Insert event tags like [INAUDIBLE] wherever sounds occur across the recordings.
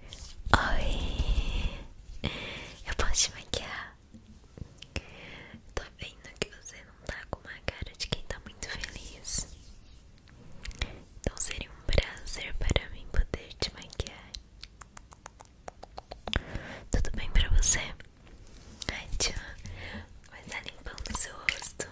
Oi, eu posso te maquiar? Tô vendo que você não tá com uma cara de quem tá muito feliz. Então seria um prazer para mim poder te maquiar. Tudo bem pra você? Ai, tchau. Vai tá limpando o seu rosto.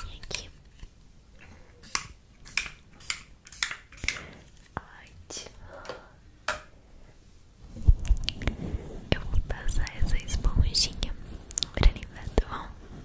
Vem aqui. Ai, Eu vou passar essa esponjinha pra limpar, tá bom?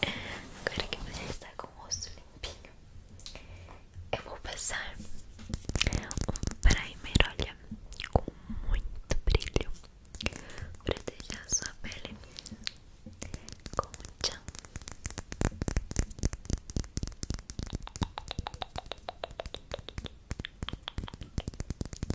Agora que você está com o rosto limpinho, eu vou passar um primer, olha, com muito brilho para deixar a sua pele com um tchan.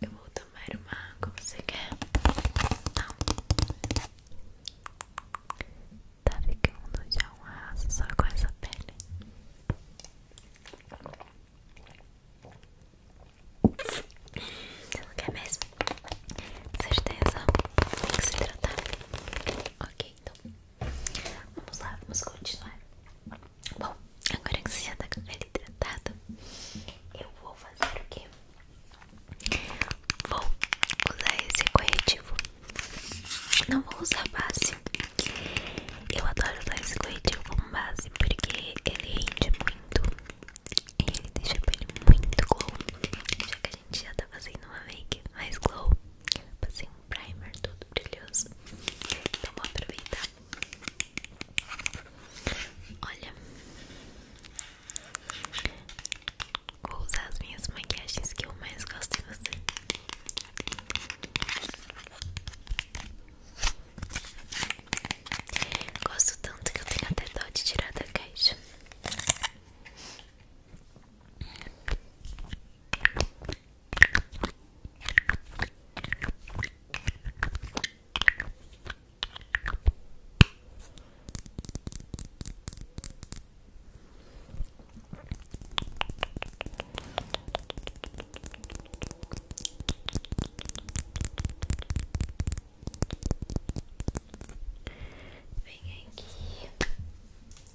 Eu vou tomar uma água, você quer? Não. Tá que ficando já um raço só com essa pele. Você não quer mesmo? Com certeza. Tem que se tratar. Ok então vamos lá, vamos continuar. Bom, agora que você já tá com a pele hidratada, eu vou fazer o quê? Vou usar esse corretivo. Não vou usar base. Eu adoro usar esse corretivo como base porque ele rende muito e ele deixa a pele muito glow. Já que a gente já tá fazendo uma make mais glow. Passei um primer todo brilhoso. Então vou aproveitar. Olha, vou usar as minhas maquiagens que eu mais gosto em você. Gosto tanto que eu tenho até dó de tirar da caixa. Vem aqui.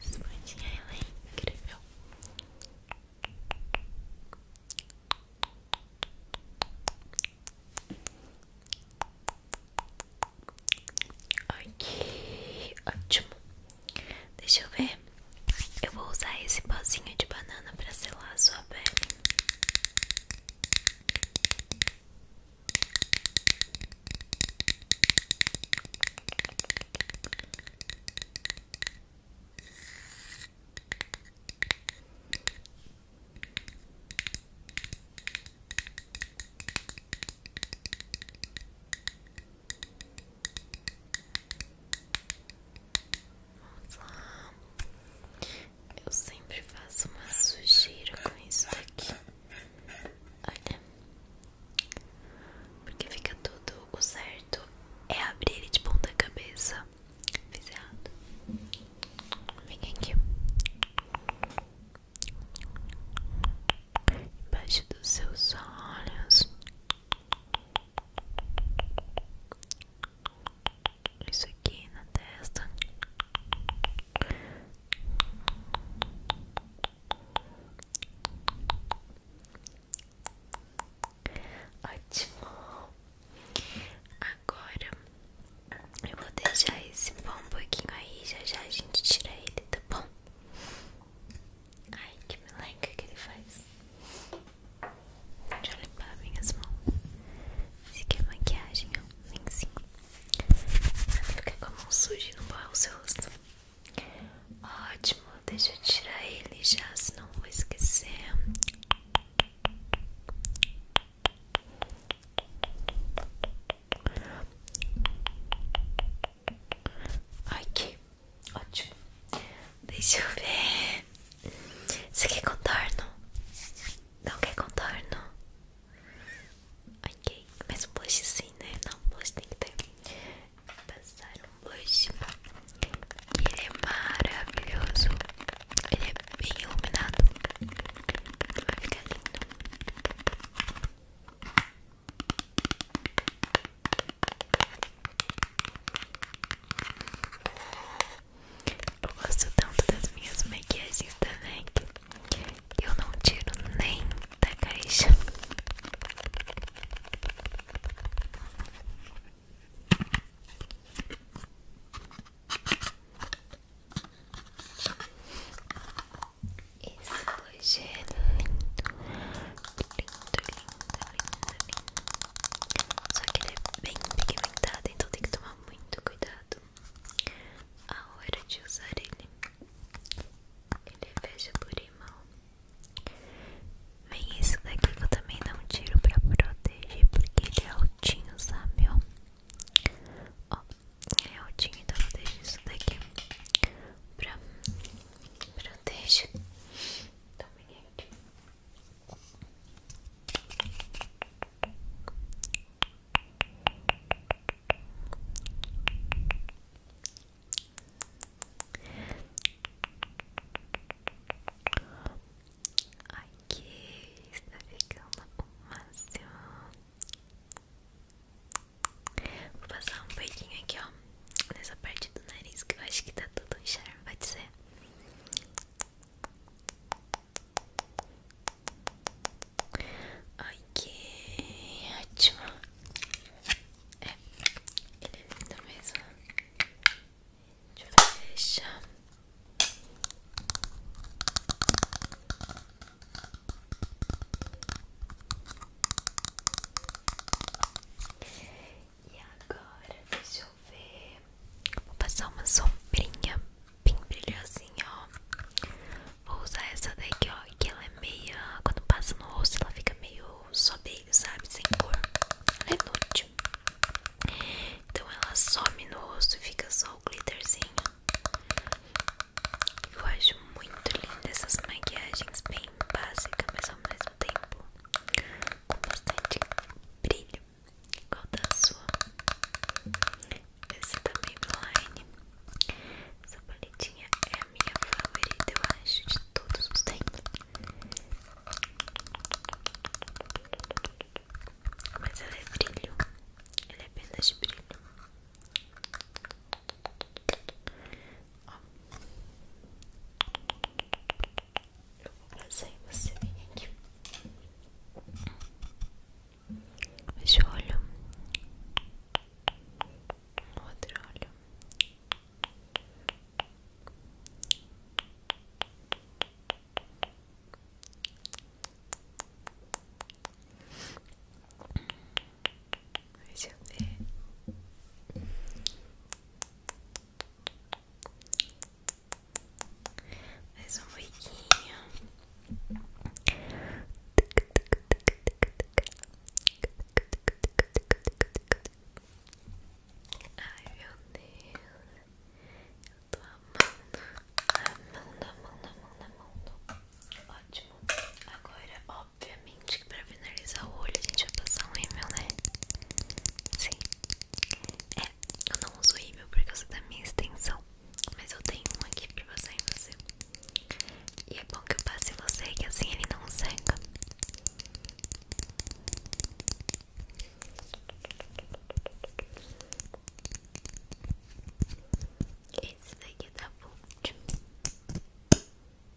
Espadinha, ela é incrível. Ok, ótimo. Deixa eu ver. Eu vou usar esse pozinho de banana para selar a sua pele. Eu sempre faço uma sujeira com isso daqui. Olha. Porque fica tudo certo. É abrir ele de ponta cabeça. Fiz errado. Vem aqui. Embaixo dos seus olhos. Isso aqui na testa. Ótimo. Agora eu vou deixar esse pão um pouquinho aí, já já a gente tira ele, tá bom? Ai, que meleca que ele faz. Deixa eu limpar minhas mãos. Esse aqui é maquiagem, ó. Nem cinco. Fica com a mão suja e não borra o seu rosto. Ótimo, deixa eu tirar ele já, senão vou esquecer. Aqui, ótimo. Deixa eu ver. Você quer contorno? Não que contorno? Ok, mas um blush sim, né? Não, um blush tem que ter. passar um blush. Ele é maravilhoso. Ele é bem iluminado. Vai ficar lindo. Eu gosto tanto das minhas maquiagens da MAC eu não tiro nem da caixa hoje é lindo, lindo, lindo, lindo, lindo. Só que ele é bem pigmentado, então tem que tomar muito cuidado a hora de usar ele. Ele é fecha por imão. Vem isso daqui que eu também um tiro pra proteger, porque ele é altinho, sabe? Ó, ele é altinho, então eu deixo isso daqui pra Protege. Também é aqui. Aqui está ficando o máximo. Vou passar um pouquinho aqui, ó nessa parte do nariz que eu acho que tá tudo um charme, vai dizer. Ok, ótimo. É, ele é lindo mesmo. Deixa eu fechar. E agora, deixa eu ver. Vou passar uma sombrinha bem brilhosinha, ó. Vou usar essa daqui, ó. Que ela é meia. Quando passa no rosto, ela fica meio sobreio, sabe? Sem cor. Ela é inútil. Então ela some no rosto e fica só o glitterzinho. Eu acho muito linda essas maquiagens bem básicas, mas ao mesmo tempo com bastante brilho, igual da sua. Essa da line, Essa paletinha é a minha favorita, eu acho, de todos os tempos. Mas ela é brilho, ela é apenas de brilho. Ó. Eu vou passar você vem aqui. Esse olho. Outro olho. Deixa eu ver mais um pouquinho. Ai meu Deus, eu tô amando, amando, amando, amando, amando. Ótimo. Agora, ó, Obviamente que pra finalizar o olho a gente vai passar um rímel, né? Sim. É, eu não uso rímel por causa da minha extensão. Mas eu tenho um aqui pra passar em você. E é bom que eu passe em você, que assim ele não seca. Esse daqui tá bom.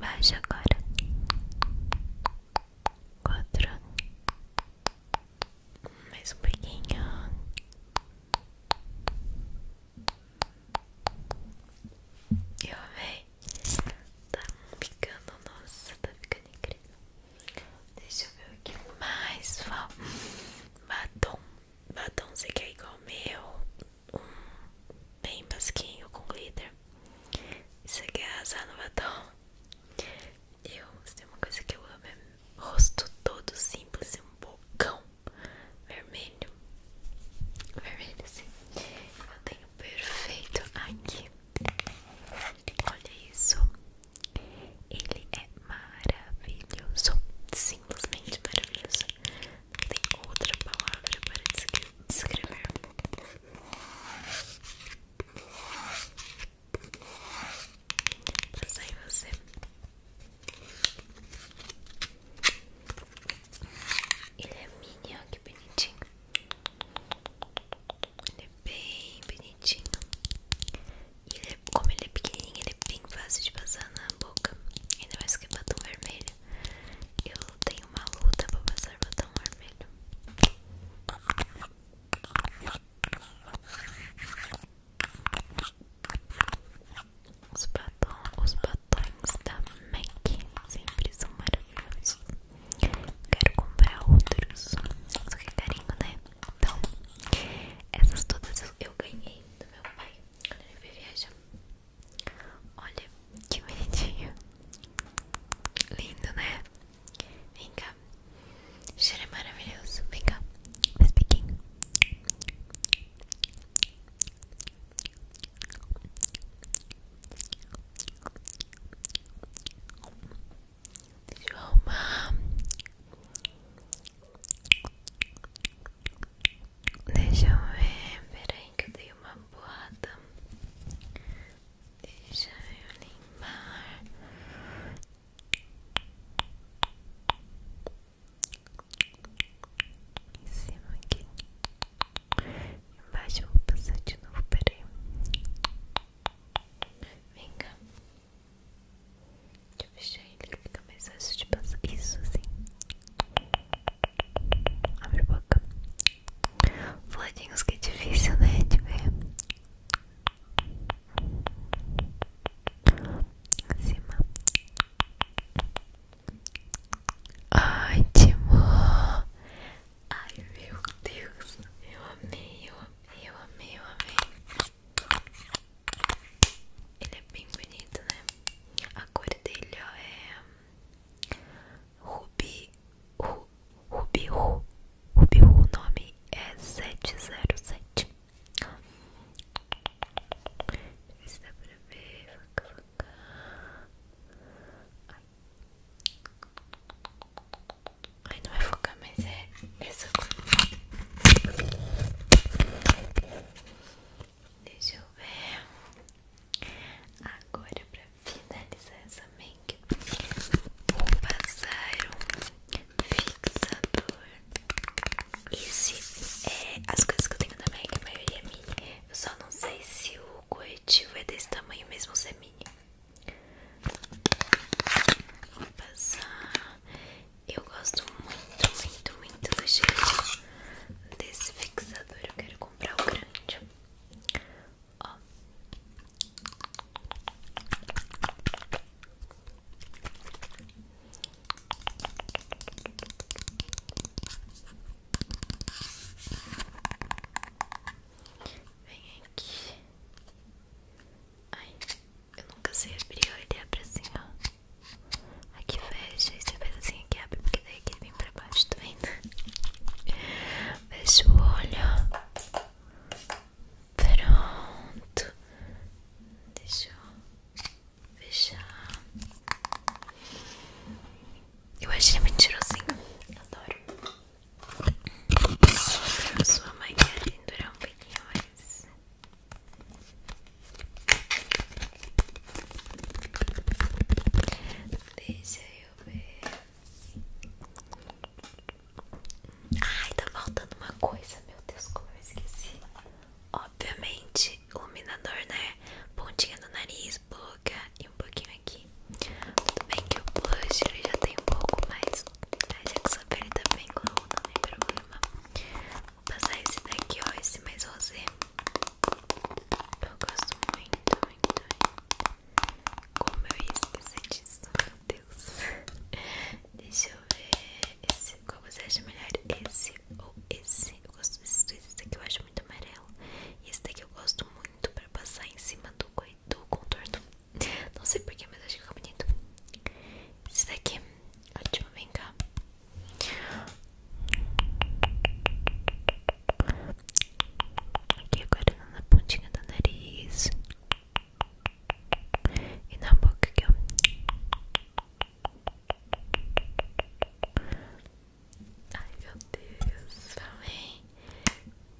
Baixa agora quatro, mais um pouquinho eu amei. Tá picando, nossa, tá ficando incrível. Deixa eu ver o que mais falta. Batom. Batom, você é igual o meu? Um bem basquinho com glitter. Você quer azar no batom? Eu, se tem uma coisa que eu amo é rosto todo simples e um bocão vermelho, vermelho sim, eu tenho perfeito aqui, olha isso, ele é maravilhoso, simplesmente maravilhoso, não tem outra palavra para descrever. Passar em você. Ele é mini, que bonitinho. Ele é bem bonitinho. ele é, como ele é pequenininho, ele é bem fácil de passar na boca. Ainda mais que é batom vermelho. Eu tenho uma luta pra passar batom vermelho. Os batom os batons batom da MAC sempre são maravilhosos. Quero comprar outros, só que é carinho, né? Então, essas todas eu ganhei do meu pai quando ele veio Olha que bonitinho, lindo, né? Vem cá, o cheiro é maravilhoso. Vem cá, faz biquinho. Deixa eu arrumar. Deixa eu ver. Peraí, que eu dei uma boada. Deixa eu limpar. Em cima aqui. Embaixo vou passar de novo, peraí. Vem cá. Deixa eu fechar ele que fica mais fácil de passar. Isso assim. Abre a boca. Vladinhos que é difícil, né? De ver. Em cima ai Ótimo! Ai meu Deus, eu amei, eu amei, eu amei, eu amei. Ele é bem bonito, né? A cor dele é Rubi, rubi Rubi, Ru, Rubi, o nome é 707. Esse dá pra ver, Ai. Ai, não é focar, mas é, é essa cor. Deixa eu ver. Agora, pra finalizar essa make, vou passar um fixador. Esse é as coisas que eu tenho na make, a maioria é minha. Eu só não sei se o o corretivo é desse tamanho mesmo você é mini. Vou passar. Eu gosto muito, muito, muito do jeito desse fixador. Eu quero comprar o grande. Ó. Vem aqui. Ai, eu nunca sei abrir, ele abre assim, ó. Aqui fecha, e você faz assim, aqui abre, porque daí aqui vem pra baixo, tá vendo? Fecha o olho. Pronto. Deixa eu fechar. Eu achei mentirosinho. Adoro. sua maquiagem durar um pouquinho Deixa eu ver. Ai, tá faltando uma coisa. Meu Deus, como eu esqueci. Obviamente, iluminador, né? Pontinha no nariz, boca e um pouquinho aqui. Tudo bem que o blush ele já tem um pouco, mas né? já que sua pele tá bem cru, não tem problema. Vou passar esse daqui, ó, esse mais rosé. Eu gosto muito, muito, muito. Como eu esqueci disso, meu Deus. [LAUGHS] Deixa eu ver esse, qual você acha melhor, esse ou esse? Eu gosto desses dois, esse daqui eu acho muito amarelo. esse daqui eu gosto muito pra passar em cima do, contorno. Não sei porquê, mas acho que fica bonito. Esse daqui, ótimo, vem cá. Aqui agora na pontinha do nariz. E na boca aqui, ó. Ai meu Deus, também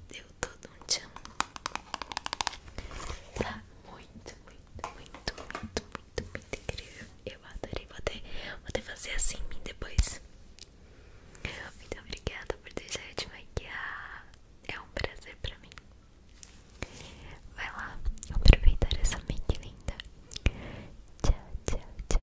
deu todo um tchan. Tá muito, muito, muito, muito, muito, muito incrível. Eu adorei, vou ter vou até fazer assim em mim depois. Muito obrigada por deixar eu te maquiar. É um prazer pra mim. Vai lá, aproveitar essa mente linda. Tchau, tchau, tchau.